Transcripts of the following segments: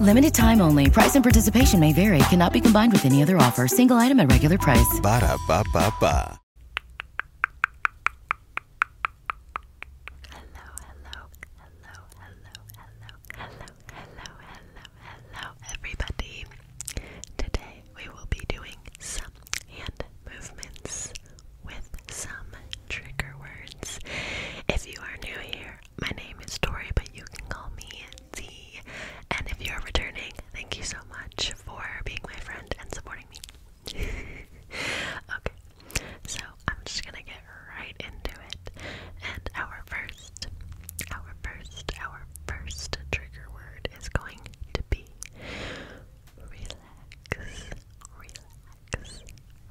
Limited time only. Price and participation may vary. Cannot be combined with any other offer. Single item at regular price. Ba da ba ba ba. Hello, hello, hello, hello, hello, hello, hello, hello, hello, everybody. Today we will be doing some hand movements with some trigger words. If you are new here, my name is Tori, but you can call me Z. And if you're returning, thank you so much for being my friend and supporting me. okay, so I'm just gonna get right into it. And our first, our first, our first trigger word is going to be relax, relax,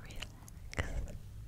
relax,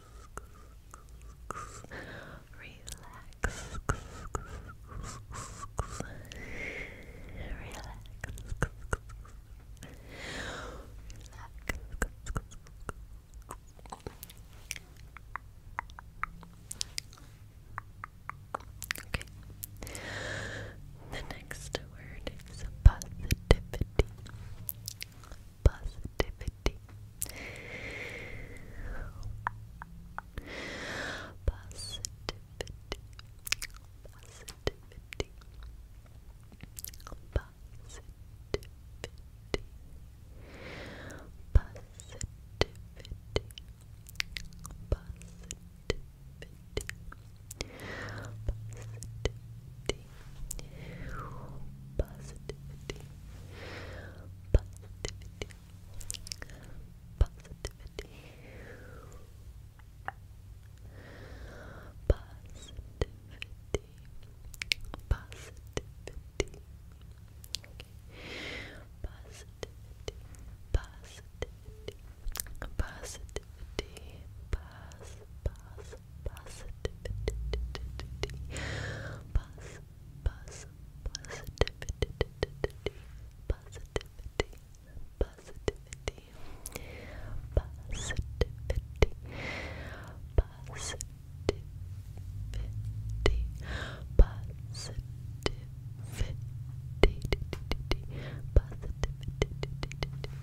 Okay. The next word is positivity. Positivity. Positivity. Positivity. Positivity. Positivity. Positivity. Positivity. Positivity. Positivity. Positivity. Positivity. Positivity. Okay. Positivity. Positivity. Positivity. Positivity. Positivity. Positivity buzz, positivity, buzz, buzz, positivity, positivity, positivity, positivity, positivity, positivity, positivity,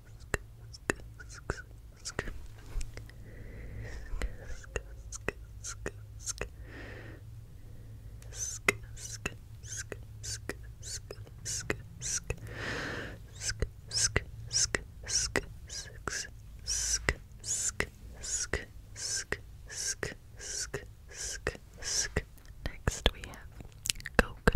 Next we have coconut,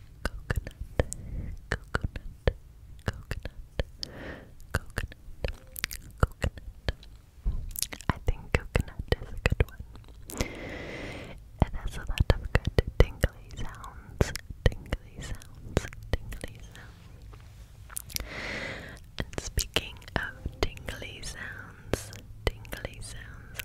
coconut, coconut, coconut, coconut, coconut. I think coconut is a good one. It has a lot of good tingly sounds, tingly sounds, tingly sounds. And speaking of tingly sounds, tingly sounds,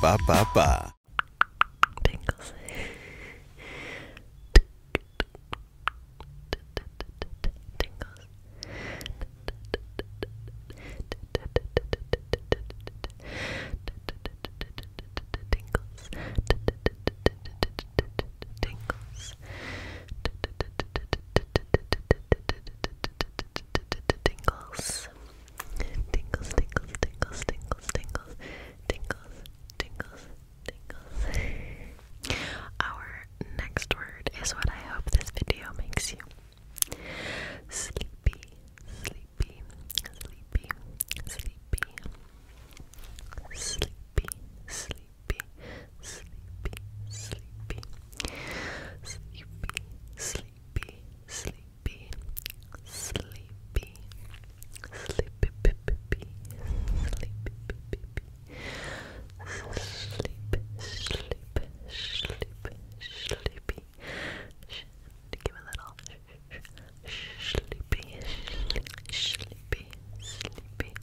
ba da ba ba tingles, tingles, tingles, tingles, tingles, tingles, tingles, tingles, tingles. Our next word is what I hope this video makes you sleepy, sleepy, sleepy, sleepy, sleepy, sleepy, sleepy, sleepy, sleepy, sleepy, sleepy sleepy, sleepy, sleepy, sleepy, sleep, sleep, sleep, sleepy. Give a little sleepy, sleepy, sleepy, sleepy,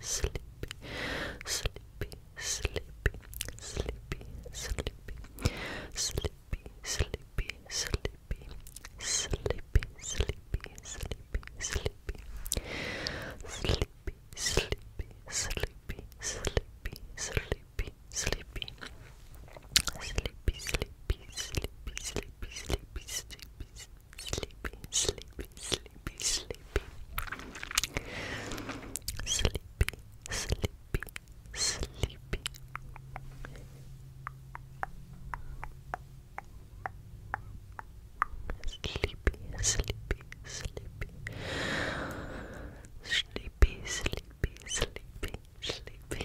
sleepy, sleepy, sleepy, sleepy, sleepy, sleepy, sleepy, sleepy, sleepy, sleepy, sleepy, sleepy, sleepy, sleepy, sleepy, sleepy, sleepy, sleepy. Sleepy, sleepy, sleepy, sleepy, sleepy, sleepy, sleepy, sleepy, sleepy, sleepy, sleepy, sleepy, sleepy. Sleepy, sleepy, sleepy. Sleepy, sleepy, sleepy, sleepy.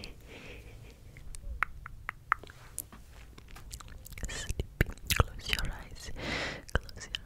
Sleepy. Close your eyes. Close your eyes. Close your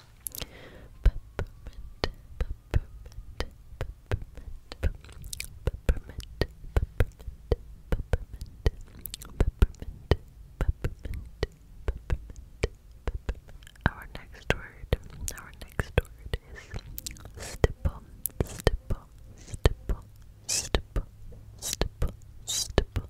peppermint, peppermint, peppermint, peppermint, peppermint, peppermint, peppermint, peppermint. Our next word, our next word is stipple, stipple, stipple, stipple, stipple, stipple,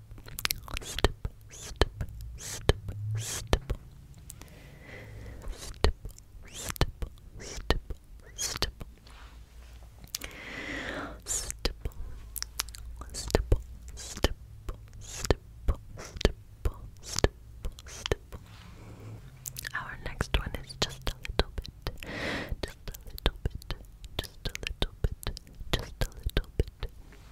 stip, stip, stip, stip, stip, stip, stip, stip, stip, stip, stip, stip, stip, Our next one is just a little bit, just a little bit, just a little bit, just a little bit,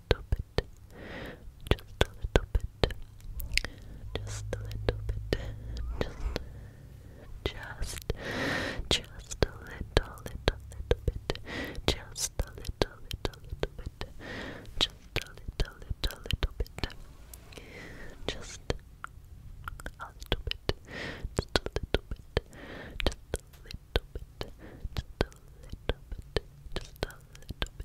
little bit, just a little bit, just a little bit, just, just, just a little, little, little bit, just a little, little, little bit, just a little, little, little bit, just a little bit, just a little bit, just a little bit, just a little bit, just a little bit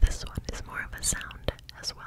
this one is more of a sound as well.